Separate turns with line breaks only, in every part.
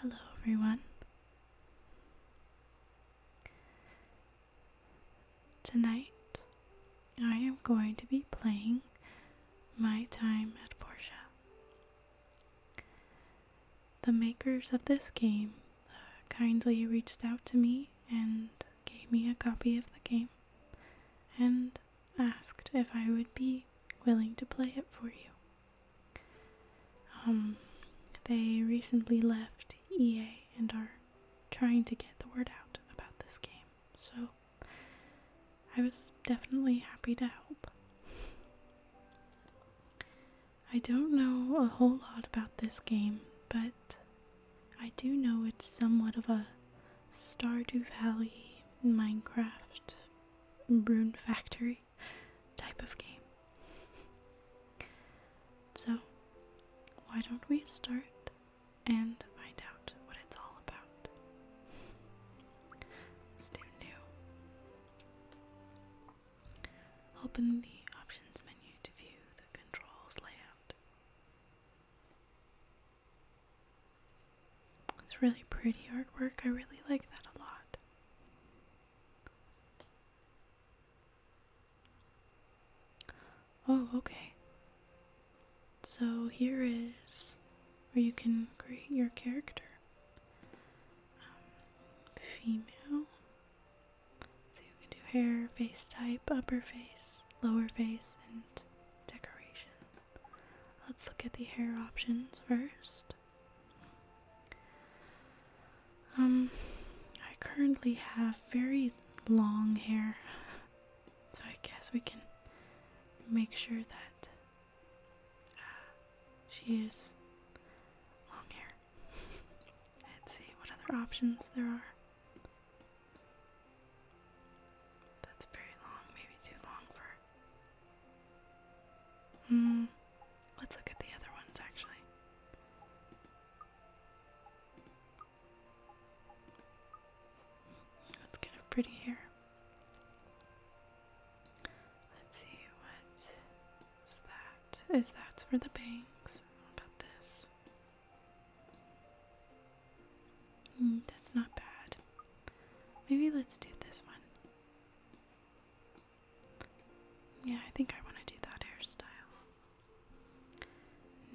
Hello, everyone. Tonight, I am going to be playing My Time at Portia. The makers of this game uh, kindly reached out to me and gave me a copy of the game, and asked if I would be willing to play it for you. Um, they recently left EA and are trying to get the word out about this game, so I was definitely happy to help. I don't know a whole lot about this game, but I do know it's somewhat of a Stardew Valley Minecraft Rune Factory type of game. So, why don't we start and find out what it's all about? let new. Open the options menu to view the controls layout. It's really pretty artwork. I really like that a lot. Oh, okay. So here is where you can create your character. Um, female. So you can do hair, face type, upper face, lower face, and decoration. Let's look at the hair options first. Um, I currently have very long hair, so I guess we can make sure that uh, she is long hair. Let's see what other options there are. That's very long, maybe too long for Hmm. Let's look at the other ones actually. That's kind of pretty here. Let's see what is that? Is that for the banks? about this? Mm, that's not bad. Maybe let's do this one. Yeah, I think I want to do that hairstyle.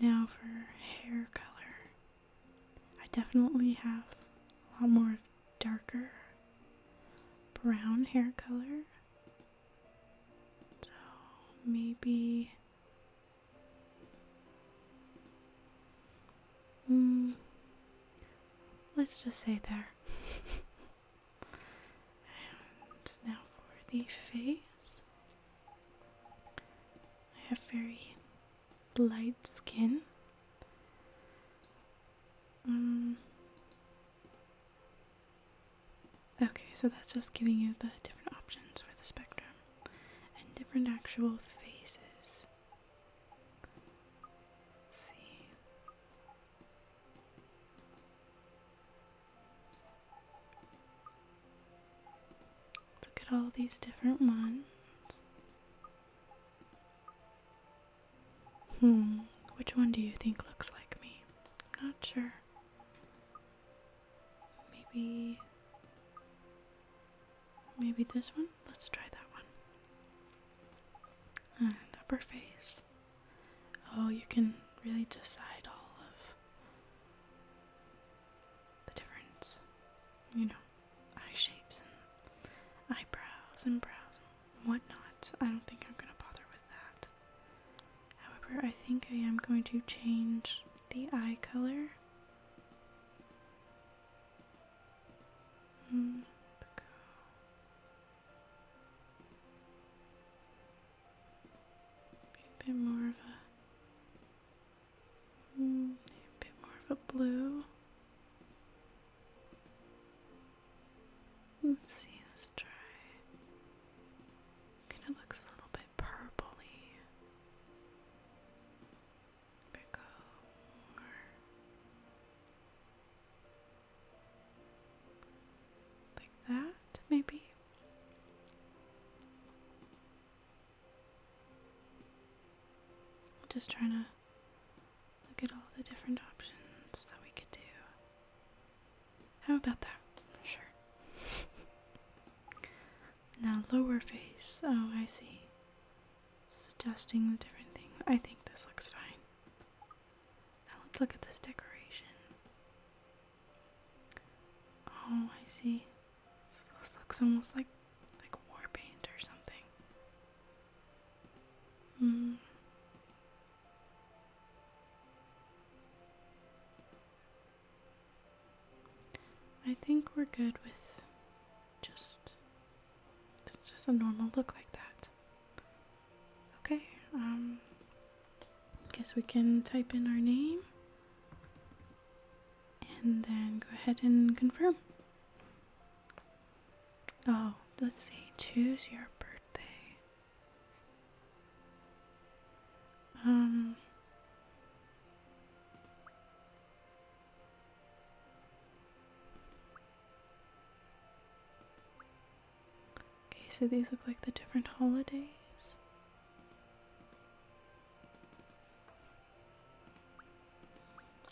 Now for hair color. I definitely have a lot more darker brown hair color. So maybe. Mm, let's just say there. and now for the face. I have very light skin. Mm. okay, so that's just giving you the different options for the spectrum and different actual faces see. Look at all these different ones. Hmm, which one do you think looks like me? I'm not sure. Maybe. Maybe this one? Let's try that one and upper face. Oh, you can really decide all of the difference, you know, eye shapes and eyebrows and brows and whatnot. I don't think I'm gonna bother with that. However, I think I am going to change the eye color Mm, go. more of a, mm, a more of a blue. Let's see, let's try. Kind of looks a little bit purpley like that, maybe. I'm just trying to look at all the different options that we could do. How about that? Sure. now, lower face. Oh, I see suggesting the different thing. I think this looks fine. Now let's look at this decoration. Oh, I see. looks almost like like war paint or something. Hmm. I think we're good with just it's just a normal look like that. Okay, um, guess we can type in our name and then go ahead and confirm. Oh, let's see, choose your birthday. Um, Okay, so these look like the different holidays.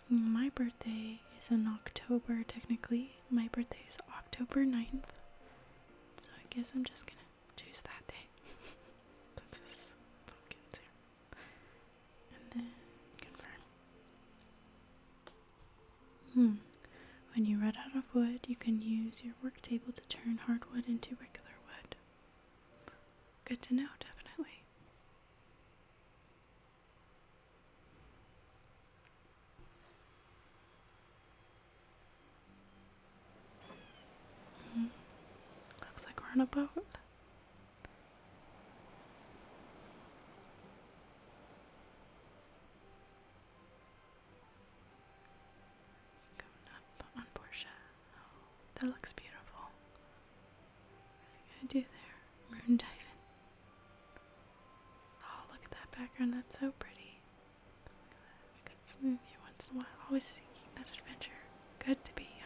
My birthday is in October, technically. My birthday is October 9th. So I guess I'm just gonna choose that day. And then confirm. Hmm. When you run out of wood, you can use your work table to turn hardwood into regular wood. Good to know, definitely. Hmm. Looks like we're on a boat. Coming up on Portia. Oh, that looks beautiful. What are you gonna do there? Rune Oh, look at that background. That's so pretty. We could smooth you once in a while. Always seeking that adventure. Good to be young.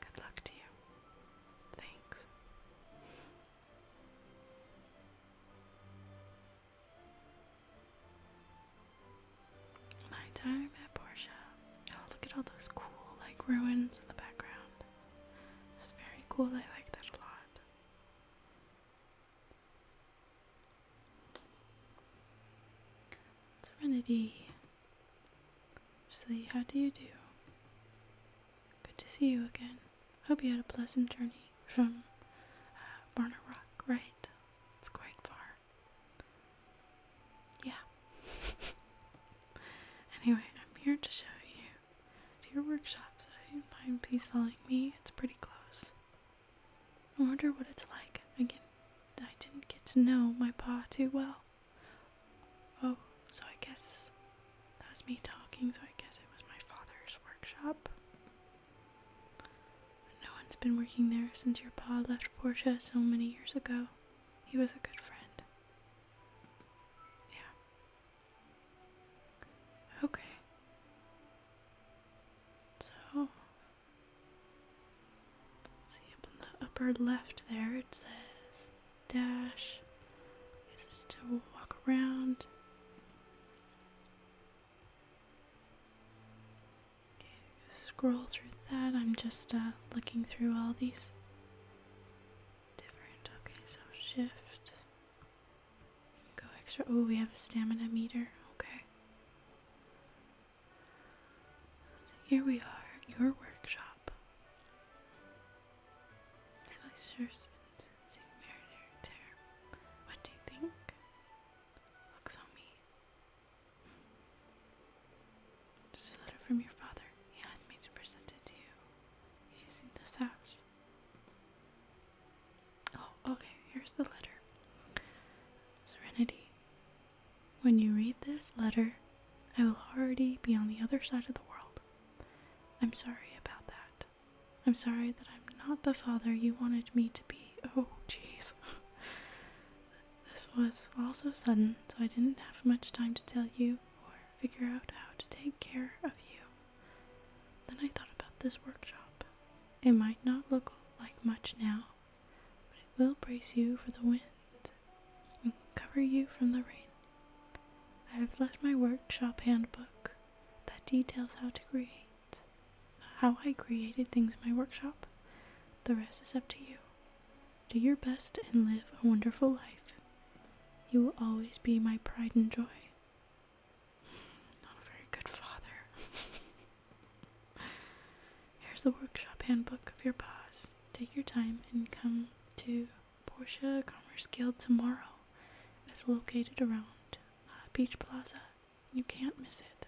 Good luck to you. Thanks. My time at Portia. Oh, look at all those cool, like, ruins in the background. It's very cool. I like that a lot. Serenity. Sleep, how do you do? Good to see you again. Hope you had a pleasant journey from uh, Rock, right? It's quite far. Yeah. anyway, I'm here to show you to your workshop, so if you mind please follow me. It's pretty close. I wonder what it's like. Again, I didn't get to know my pa too well. Oh, so I guess that was me talking, so I guess it was my father's workshop. no one's been working there since your pa left Portia so many years ago. He was a good friend. Yeah. Okay. So, See up in the upper left there it says dash. This is to walk around. Okay, scroll through that. I'm just uh, looking through all these different. Okay, so shift. Go extra. Oh, we have a stamina meter. Okay. Here we are your workshop. What do you think? Looks on me. Just a letter from your father. He asked me to present it to you. you seen this house? Oh, okay, here's the letter. Serenity, when you read this letter, I will already be on the other side of the world. I'm sorry about that. I'm sorry that I'm not the father you wanted me to be. Oh, jeez. this was all so sudden, so I didn't have much time to tell you or figure out how to take care of you. Then I thought about this workshop. It might not look like much now, but it will brace you for the wind and cover you from the rain. I have left my workshop handbook that details how to create, how I created things in my workshop. The rest is up to you. Do your best and live a wonderful life. You will always be my pride and joy. Not a very good father. Here's the workshop handbook of your boss. Take your time and come to Porsche Commerce Guild tomorrow. It's located around Beach uh, Plaza. You can't miss it.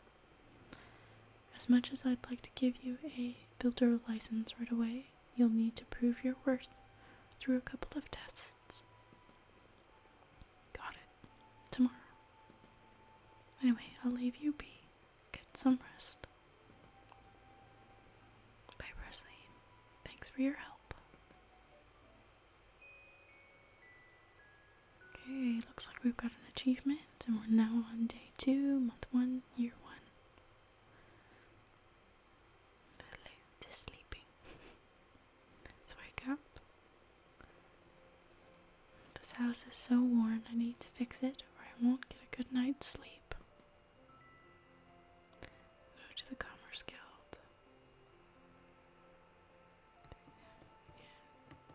As much as I'd like to give you a builder license right away, you'll need to prove your worth through a couple of tests. Got it. Tomorrow. Anyway, I'll leave you be. Get some rest. Bye, Presley. Thanks for your help. Okay, looks like we've got an achievement, and we're now on day two, month one, year one. The, the sleeping. Let's wake up. This house is so worn, I need to fix it or I won't get a good night's sleep. Go to the Commerce Guild.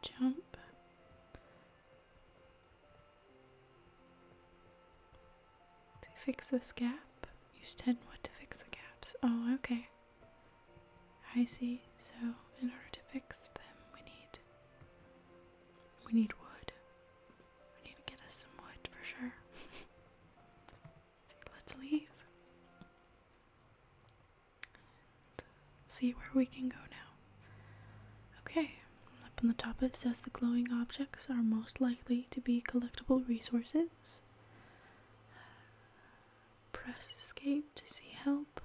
Jump. To fix this gap, use 10 wood to fix the gaps. Oh, okay. I see. So, in order to fix them, we need we need wood. We need to get us some wood for sure. Let's leave. see where we can go now. Okay, up on the top it says the glowing objects are most likely to be collectible resources. Press escape to see help.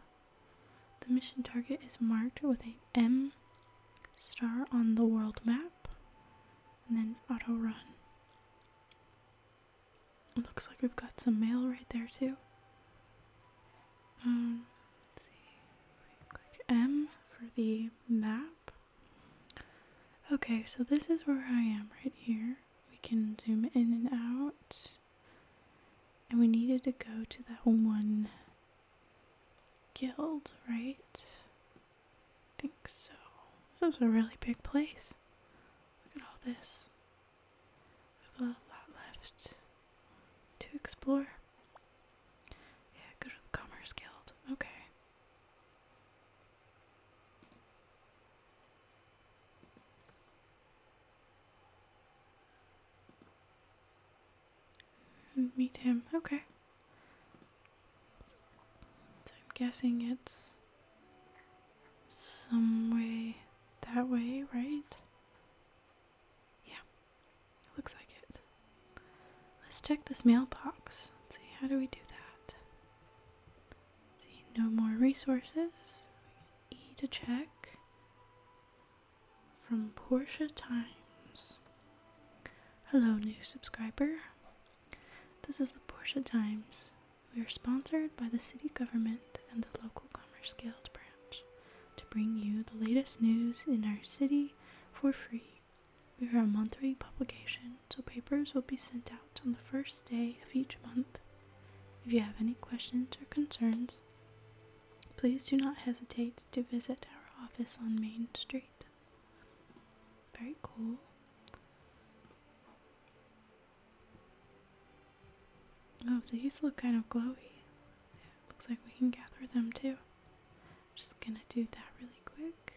The mission target is marked with a M star on the world map and then auto run. looks like we've got some mail right there too. Um, Click M for the map. Okay, so this is where I am right here. We can zoom in and out. And we needed to go to that one guild, right? I think so. This is a really big place. Look at all this. We have a lot left to explore. Yeah, go to the Commerce Guild. Okay. Mm, Meet him. Okay. I'm guessing it's some way that way, right? Yeah, looks like it. Let's check this mailbox. Let's see, how do we do that? see, no more resources. E to check from Portia Times. Hello, new subscriber. This is the Portia Times. We are sponsored by the city government and the local Commerce Guild branch to bring you the latest news in our city for free. We are a monthly publication, so papers will be sent out on the first day of each month. If you have any questions or concerns, Please do not hesitate to visit our office on Main Street. Very cool. Oh, these look kind of glowy. looks like we can gather them too. I'm just gonna do that really quick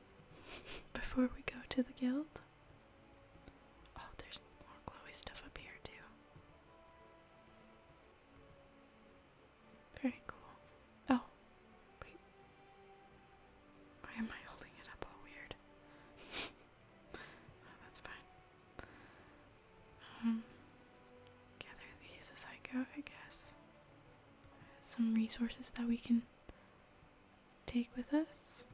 before we go to the guild. Oh, there's more glowy stuff up here too. Very cool. Oh, wait. Why am I holding it up all weird? oh, that's fine. Um, gather these as I go, I guess. Some resources that we can take with us.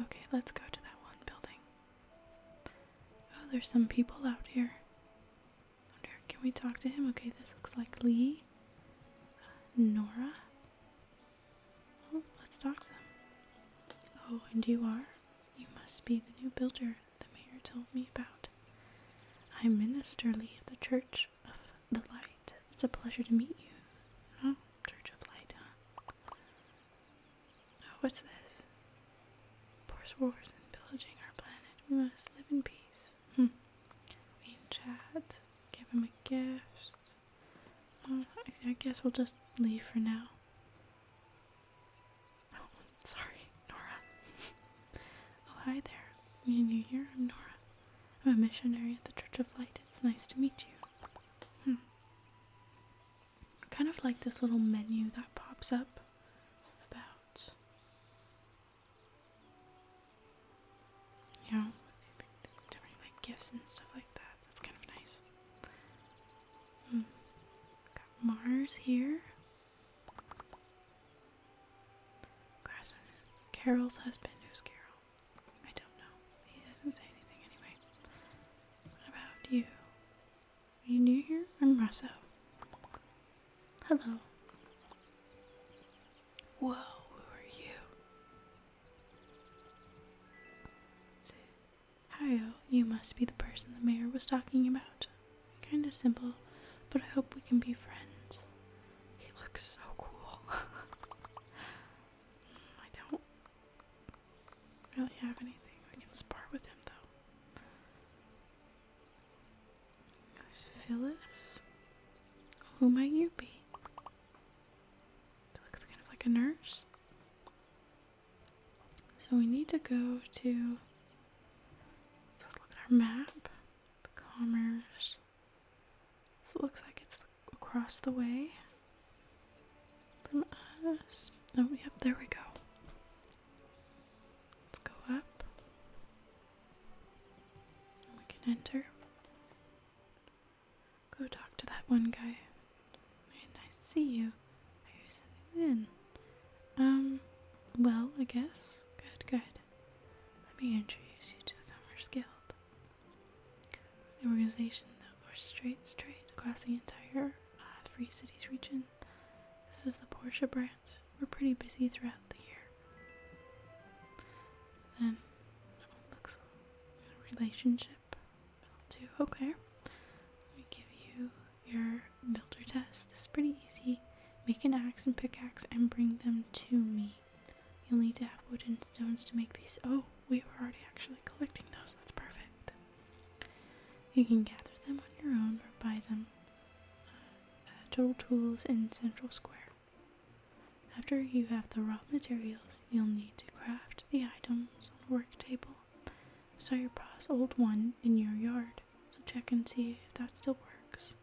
Okay, let's go to that one building. Oh, there's some people out here. can we talk to him? Okay, this looks like Lee. Uh, Nora. Oh, let's talk to them. Oh, and you are? You must be the new builder the mayor told me about. I'm Minister Lee of the Church of the Light. It's a pleasure to meet you. Oh, Church of Light, huh? Oh, what's this? Force wars and pillaging our planet. We must live in peace. Hmm. Mean chat. Give him a gift. Uh, I guess we'll just leave for now. Oh, sorry, Nora. oh, hi there. Mean you here? I'm Nora. I'm a missionary at the Church of Light. It's nice to meet you. Hmm. I kind of like this little menu that pops up about you know like gifts and stuff like that. That's kind of nice. Hmm. Got Mars here. Grassman. husband. Who's Carol? I don't know. He doesn't say anything anyway. about you? Are you new here? I'm Russo. Hello. Whoa, who are you? Hiyo, you must be the person the mayor was talking about. Kinda simple, but I hope we can be friends. He looks so cool. Hmm, I don't really have anything. We can spar with him though. Phyllis? Who might you be? looks kind of like a nurse. So we need to go to look at our map. The commerce. So looks like it's across the way from us. Oh, yep, there we go. Let's go up. And we can enter. Go talk to that one guy. Why did I see you? Are you sending in? Um, well, I guess. Good, good. Let me introduce you to the Commerce Guild. The organization that orchestrates trades across the entire uh, Free Cities region this is the Porsche branch. We're pretty busy throughout the year. Then it looks like a relationship. Two. Okay. Let me give you your builder test. This is pretty easy. Make an axe and pickaxe and bring them to me. You'll need to have wood and stones to make these. Oh, we were already actually collecting those. That's perfect. You can gather them on your own or buy them uh, total tools in central square. After you have the raw materials, you'll need to craft the items on the work table. I your pa's old one in your yard, so check and see if that still works.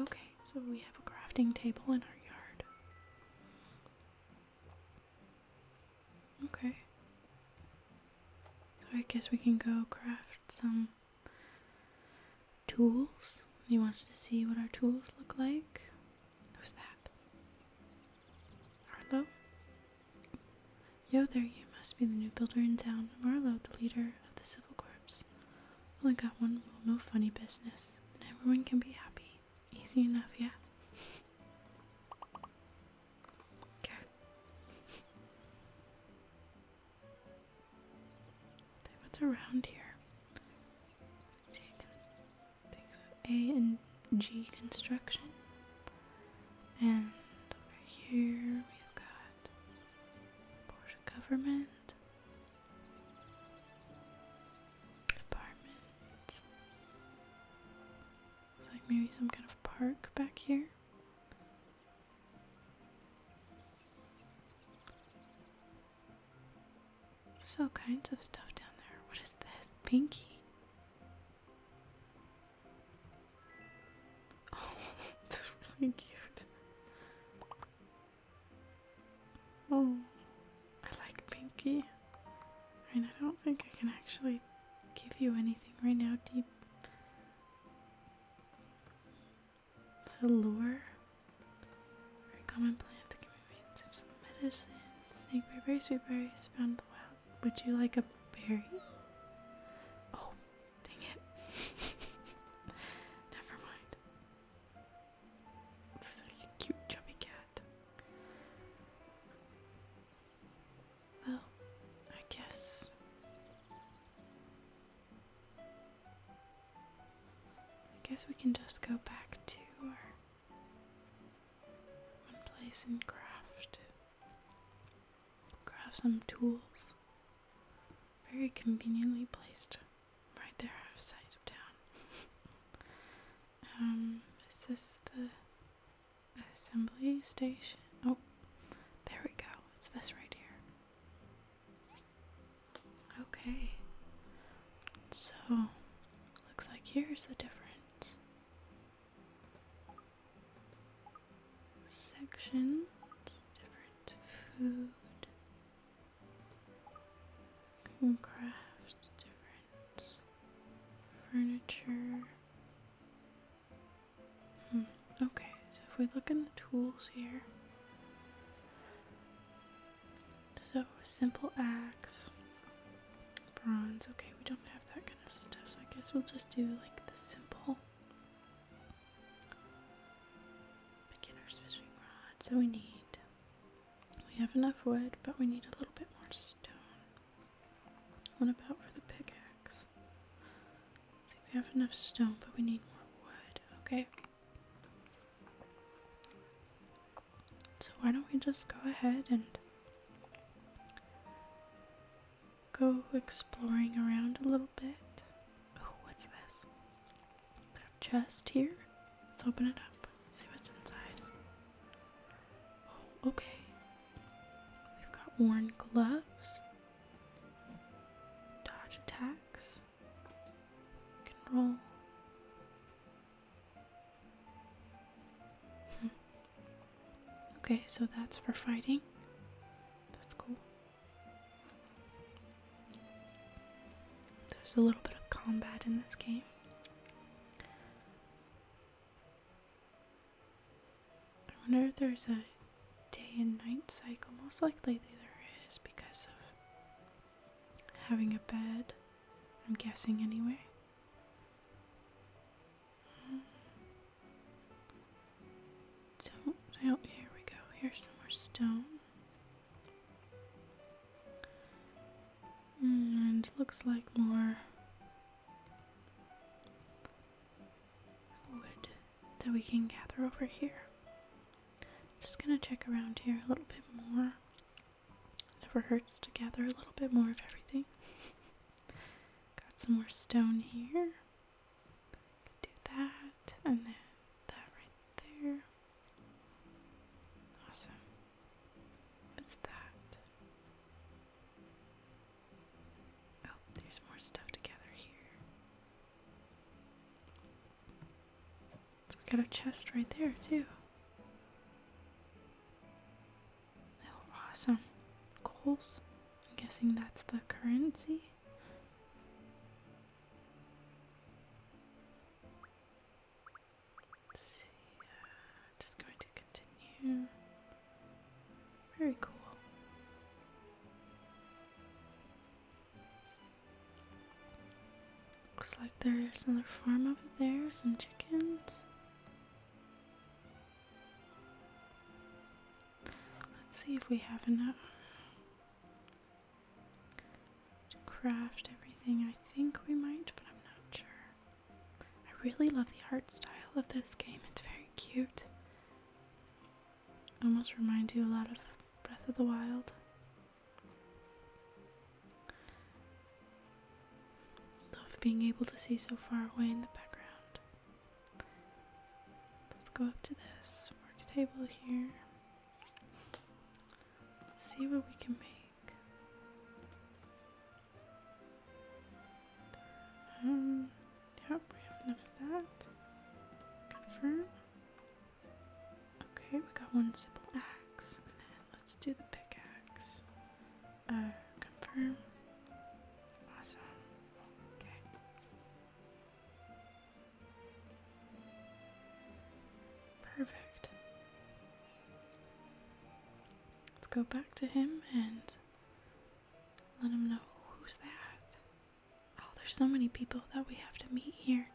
Okay, so we have a crafting table in our yard. Okay. So I guess we can go craft some tools. He wants to see what our tools look like. Who's that? Marlowe? Yo there, you must be the new builder in town. Marlowe, the leader of the Civil Corps. Only got one rule, no funny business. And everyone can be happy. Easy enough, yeah? Okay what's around here? A and G construction. And over here we've got Porsche government apartment. Looks like maybe some kind of park back here. There's all kinds of stuff down there. What is this? Pinky. Oh, it's really cute. Oh, I like Pinky. I mean, I don't think I can actually give you anything right now, Deep to lure very common plant that can be made into some medicine. Snakeberry, sweetberry is found in the wild. Would you like a berry? Oh, dang it. Never mind. This is like a cute chubby cat. Well, I guess. I guess we can just go back to our one place in craft. Craft some tools. Very conveniently placed right there out of town. um, is this the assembly station? Oh, there we go. It's this right here. Okay. So, looks like here's the difference. Sections, different food, crafts, different furniture, Hmm. Okay, so if we look in the tools here. So, simple axe, bronze. Okay, we don't have that kind of stuff, so I guess we'll just do like the simple beginner's fishing rod. So, we need we have enough wood, but we need a little bit more stone. What about for the pickaxe? we have enough stone, but we need more wood. Okay. So why don't we just go ahead and go exploring around a little bit. Oh, what's this? Got a chest here. Let's open it up. See what's inside. Oh, okay. We've got worn gloves. Dodge attacks. Can Okay, so that's for fighting. That's cool. There's a little bit of combat in this game. I wonder if there's a day and night cycle. Most likely there is because of having a bed. I'm guessing anyway. do oh, here we go. Here's some more stone. Hmm, and looks like more wood that we can gather over here. Just gonna check around here a little bit more. Never hurts to gather a little bit more of everything. Got some more stone here. do that, and then that right there. Awesome. What's that? Oh, there's more stuff to gather here. So we got a chest right there too. Oh, awesome. Coals. I'm guessing that's the currency. see. Uh, just going to continue. Very cool. Looks like there's another farm over there, some chickens. Let's see if we have enough to craft everything. I think we might, but I'm not sure. I really love the art style of this game, it's very cute almost reminds you a lot of Breath of the Wild. Love being able to see so far away in the background. Let's go up to this work table here. see what we can make. Um, Yep, we have enough of that. Confirm. Okay, we got one simple axe. let's do the pickaxe. Uh, confirm. Awesome. Okay. Perfect. Let's go back to him and let him know who's that. Oh, there's so many people that we have to meet here.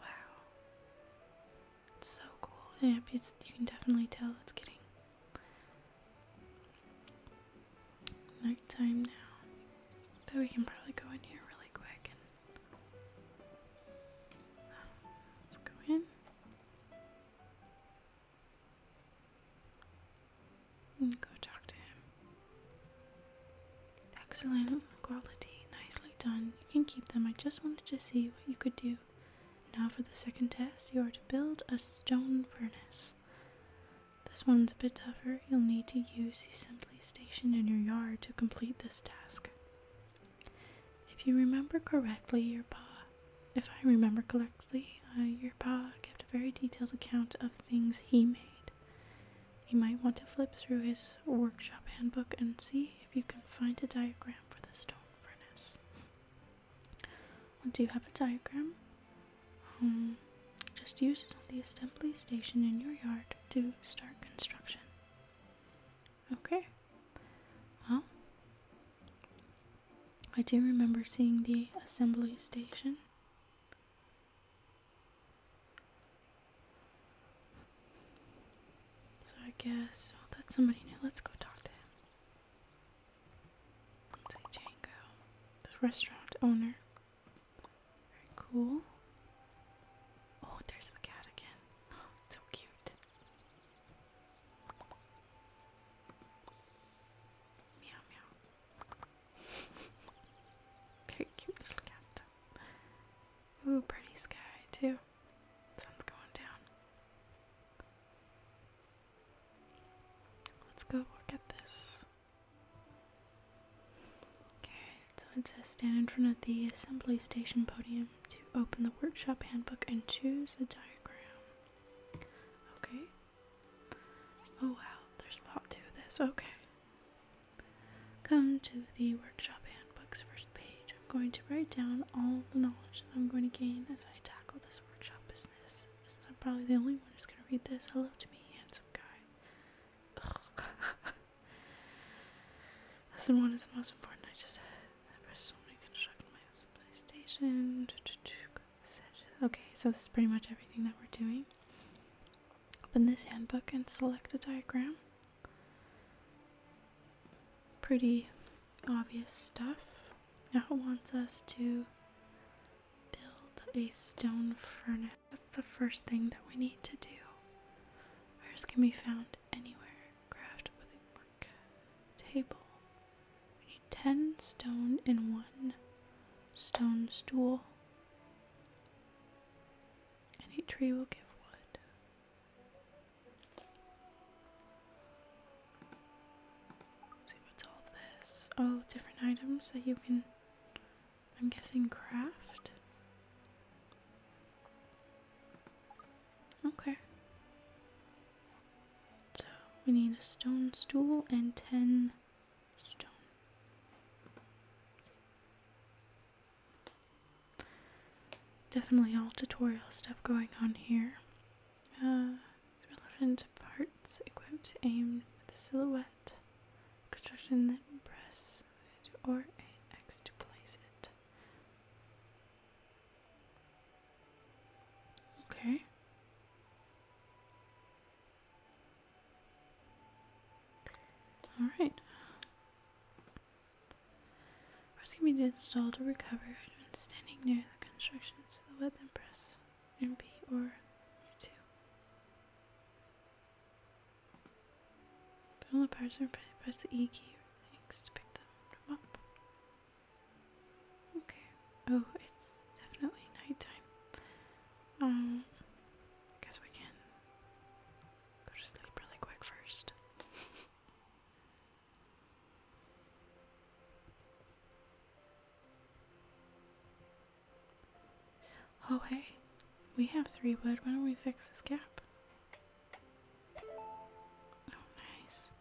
Wow. It's so cool. Yeah, it's, you can definitely tell it's getting nighttime now. But we can probably go in here really quick let's go in. Mm, go talk to him. Excellent quality, nicely done. You can keep them. I just wanted to see what you could do. Now for the second test, you are to build a stone furnace. This one's a bit tougher. You'll need to use the assembly station in your yard to complete this task. If you remember correctly, your pa, if I remember correctly, uh, your pa kept a very detailed account of things he made. You might want to flip through his workshop handbook and see if you can find a diagram for the stone furnace. Once you have a diagram, um, just use it on the assembly station in your yard to start construction. Okay. Well, I do remember seeing the assembly station. So I guess, oh, that's somebody new. Let's go talk to him. Let's say Django, the restaurant owner. Very cool. Oh, there's the cat again. so cute. Meow meow. Very cute little cat. Ooh, pretty sky too. Sun's going down. Let's go look at this. Okay, so it says stand in front of the assembly station podium to open the workshop handbook and choose a diagram. Okay. Oh wow, there's a lot to this. Okay. Come to the workshop handbook's first page. I'm going to write down all the knowledge that I'm going to gain as I tackle this workshop business. Since I'm probably the only one who's going to read this, hello to me, handsome guy. Lesson one is the most important. I just I just want to construct my supply station. Okay, so this is pretty much everything that we're doing. Open this handbook and select a diagram. Pretty obvious stuff. Now it wants us to build a stone furnace. That's the first thing that we need to do. Ours can be found anywhere. Craft with a work table. We need 10 stone and one stone stool. Any tree will give wood. what's all this. Oh, different items that you can, I'm guessing, craft. Okay. So we need a stone stool and ten Definitely all tutorial stuff going on here. relevant uh, parts equipped aimed with silhouette, construction, then press or AX to place it. Okay. Alright. Press can be installed to recover I've been standing near the construction, so the wet then press and B or two. Turn the parts and press the E key next to pick them up. Okay. Oh, it's definitely nighttime. Um, guess we can Go to sleep really quick first. oh, hey, we have three wood. Why don't we fix this gap? Oh, nice.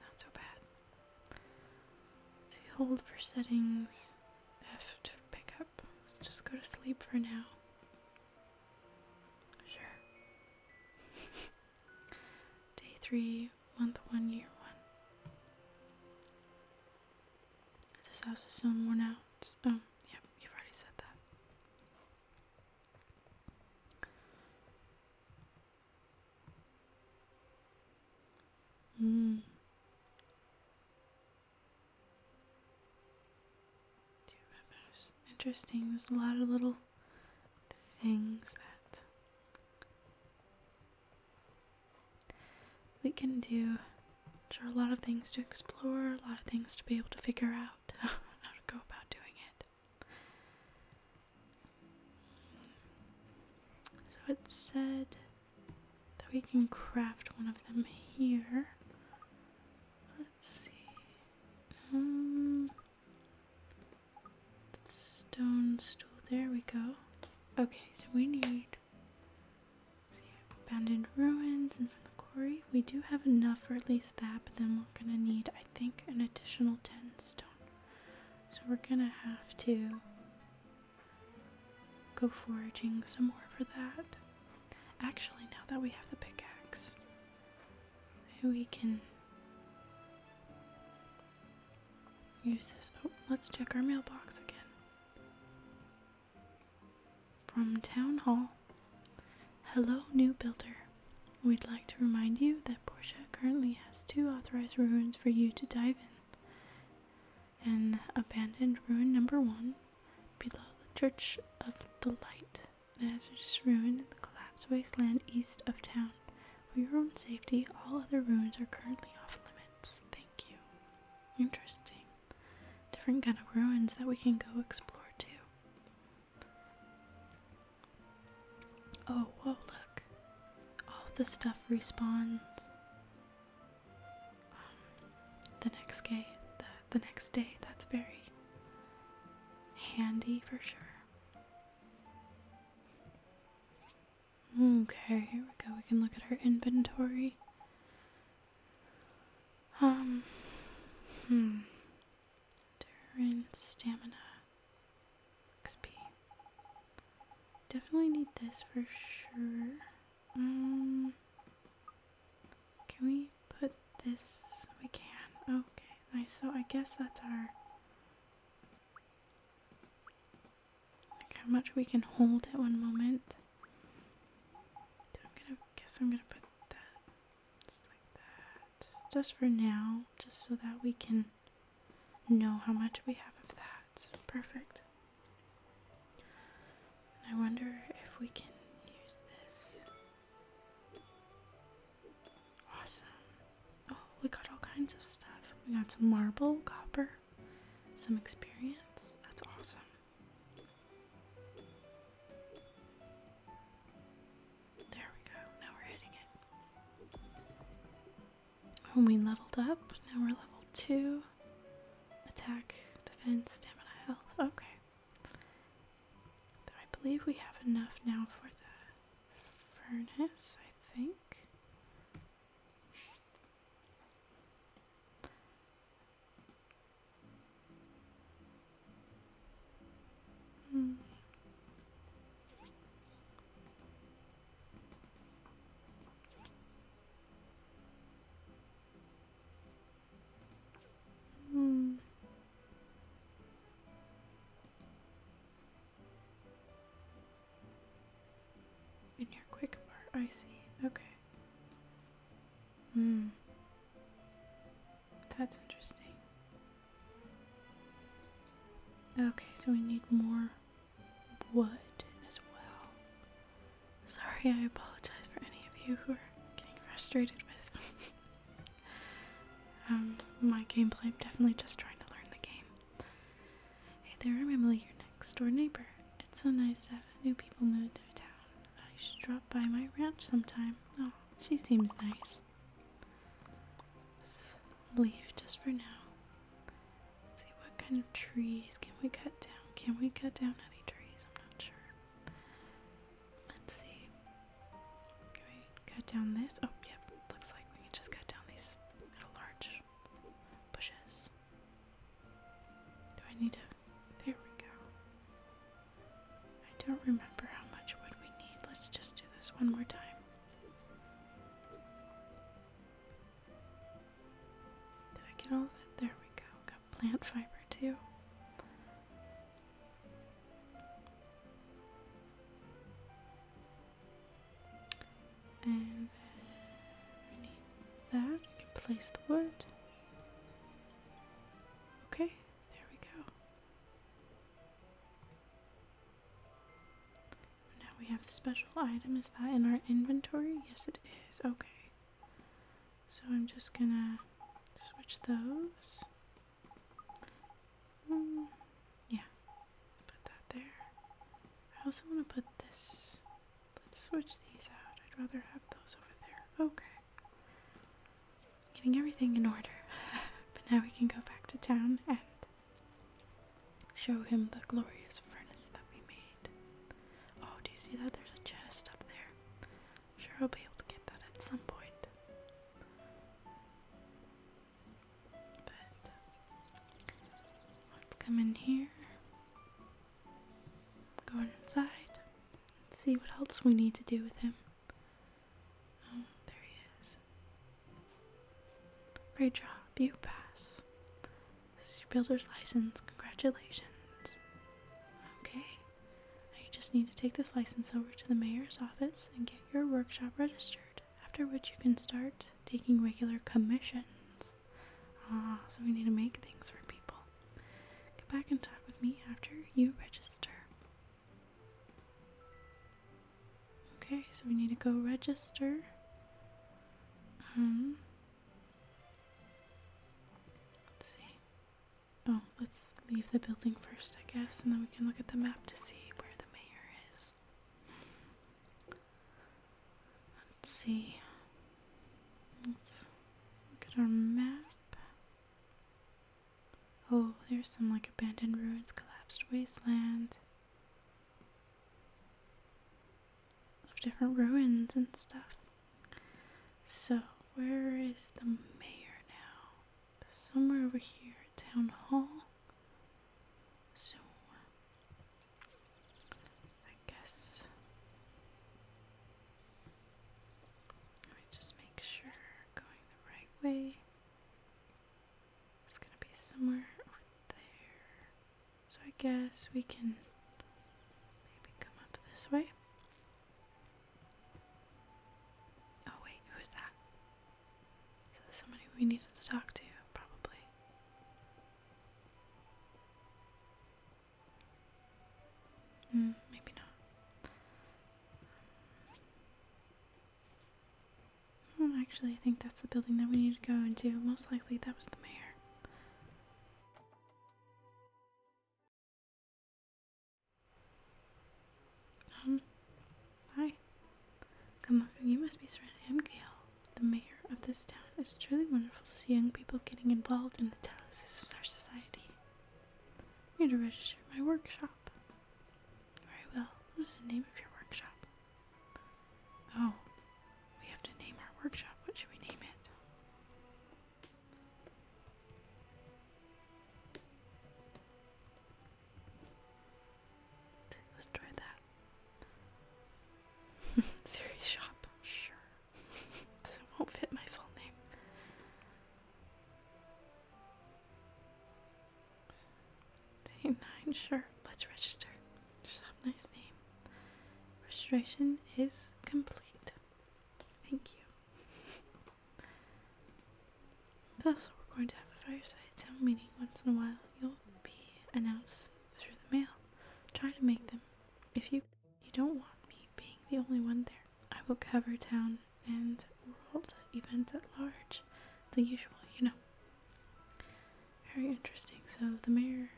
Not so bad. Let's see, hold for settings. F to pick up. Let's just go to sleep for now. Sure. Day three, month one, year one. This house is so worn out. Oh, yep. you've already said that. Mm. interesting. There's a lot of little things that we can do. There a lot of things to explore, a lot of things to be able to figure out how to go about doing it. So it said that we can craft one of them here. Let's see. Um, stone stool. There we go. Okay, so we need abandoned ruins and from the quarry. We do have enough for at least that, but then we're gonna need, I think, an additional 10 stone. So we're gonna have to go foraging some more for that. Actually, now that we have the pickaxe, we can use this. Oh, let's check our mailbox again. From Town Hall Hello, new builder. We'd like to remind you that Portia currently has two authorized ruins for you to dive in. And abandoned ruin number one below the Church of the Light, and an hazardous ruin in the collapsed wasteland east of town. For your own safety, all other ruins are currently off limits. Thank you. Interesting. Different kind of ruins that we can go explore too. Oh, whoa, look. All the stuff respawns the next day, the, next day. That's very handy for sure. Okay, here we go. We can look at our inventory. Um, hmm. Terrain, stamina, XP. Definitely need this for sure. Um, can we put this? We can. Okay, nice. So I guess that's our. Like how much we can hold at one moment. I'm gonna guess I'm gonna put that just like that, just for now, just so that we can know how much we have of that. perfect. I wonder if we can use this. Awesome. Oh, we got all kinds of stuff. We got some marble, copper, some experience. That's awesome. There we go. Now we're hitting it. When we leveled up, now we're level two. Attack, defense, stamina, health. Okay. I believe we have enough now for the furnace, I think. Hmm. Hmm. In your quick bar, I see. Okay. Hmm. That's interesting. Okay, so we need more what as well. Sorry, I apologize for any of you who are getting frustrated with um, my gameplay. I'm definitely just trying to learn the game. Hey there, I'm Emily, your next door neighbor. It's so nice to have new people moved to town. I should drop by my ranch sometime. Oh, she seems nice. leave just for now. Let's see what kind of trees can we cut down? Can we cut down any trees? I'm not sure. Let's see. Can we cut down this? Oh, yep. Looks like we can just cut down these large bushes. Do I need to? There we go. I don't remember how much wood we need. Let's just do this one more time. Did I get all of it? There we go. Got plant fiber too. And we need that. We can place the wood. Okay, there we go. Now we have the special item. Is that in our inventory? Yes, it is. Okay. So I'm just gonna switch those. Mm, yeah, put that there. I also want to put this. Let's switch these out. I'd rather have those over there. Okay. Getting everything in order. but now we can go back to town and show him the glorious furnace that we made. Oh, do you see that? There's a chest up there. I'm sure I'll be able to get that at some point. But let's come in here. Go inside. Let's see what else we need to do with him. Oh, there he is. Great job, you pass. This is your builder's license. Congratulations. Okay. you just need to take this license over to the mayor's office and get your workshop registered, after which you can start taking regular commissions. Ah, so we need to make things for people. Get back and talk with me after you register. Okay, so we need to go register. Um, Let's see. Oh, let's leave the building first, I guess, and then we can look at the map to see where the mayor is. Let's see. Let's look at our map. Oh, there's some like abandoned ruins, collapsed wasteland of different ruins and stuff. So, where is the mayor now? Somewhere over here, town hall. So, I guess. Let me just make sure going the right way. It's gonna be somewhere over there. So I guess we can maybe come up this way. Oh wait, who's that? Is that somebody we needed to talk to? Probably. Mm, maybe not. Hmm. Hmm, actually, I think that's the building that we need to go into. Most likely, that was the mayor. Um, hi. Come on, you must be Serenity. I'm Gail, the mayor of this town. It's truly wonderful to see young people getting involved in the telesis of our society. I'm here to register my workshop. Very well. What is the name of your workshop? Oh, we have to name our workshop. What should we name it? Let's try that. Series shop, sure. it won't fit my full name. Nine, sure. Let's register. nice name. Registration is complete. Thank you. Thus, we're going to have a fireside town meeting once in a while. You'll be announced through the mail. Try to make them. If you you don't want me being the only one there, I will cover town and world events at large, the usual, you know. Very interesting. So the mayor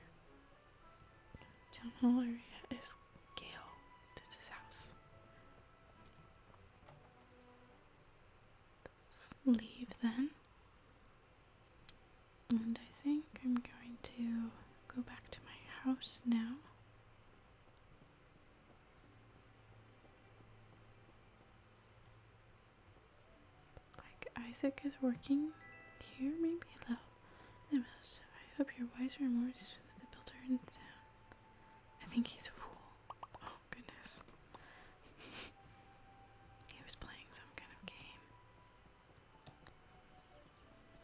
Town hall area is Gail. That's his house. Let's leave then. And I think I'm going to go back to my house now. Like Isaac is working here, maybe though. I hope you're wiser and more so than the builder and sound. I think he's a fool. Oh goodness. he was playing some kind of game.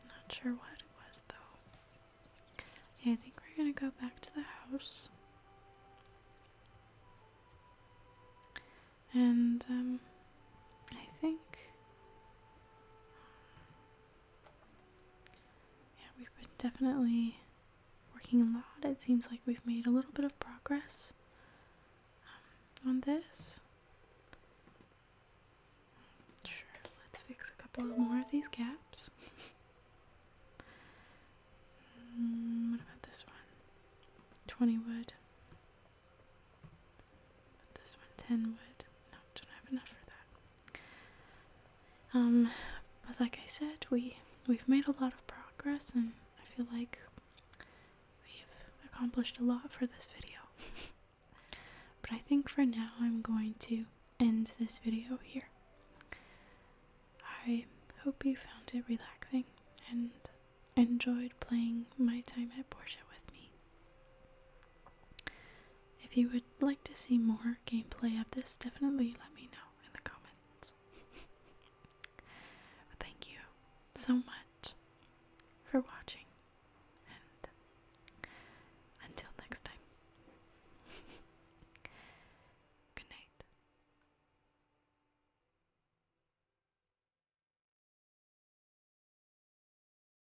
Not sure what it was though. Okay, I think we're gonna go back to the house. And um, I think yeah, we've been definitely working a lot. It seems like we've made a little bit of progress um, on this. Sure, let's fix a couple more of these gaps. Mm, what about this one? 20 wood. But this one, ten wood. No, don't have enough for that. Um, but like I said, we we've made a lot of progress, and I feel like we've accomplished a lot for this video. but I think for now, I'm going to end this video here. I hope you found it relaxing and enjoyed playing my time at Porsche with me. If you would like to see more gameplay of this, definitely let me know in the comments. thank you so much for watching, and until next time, good night.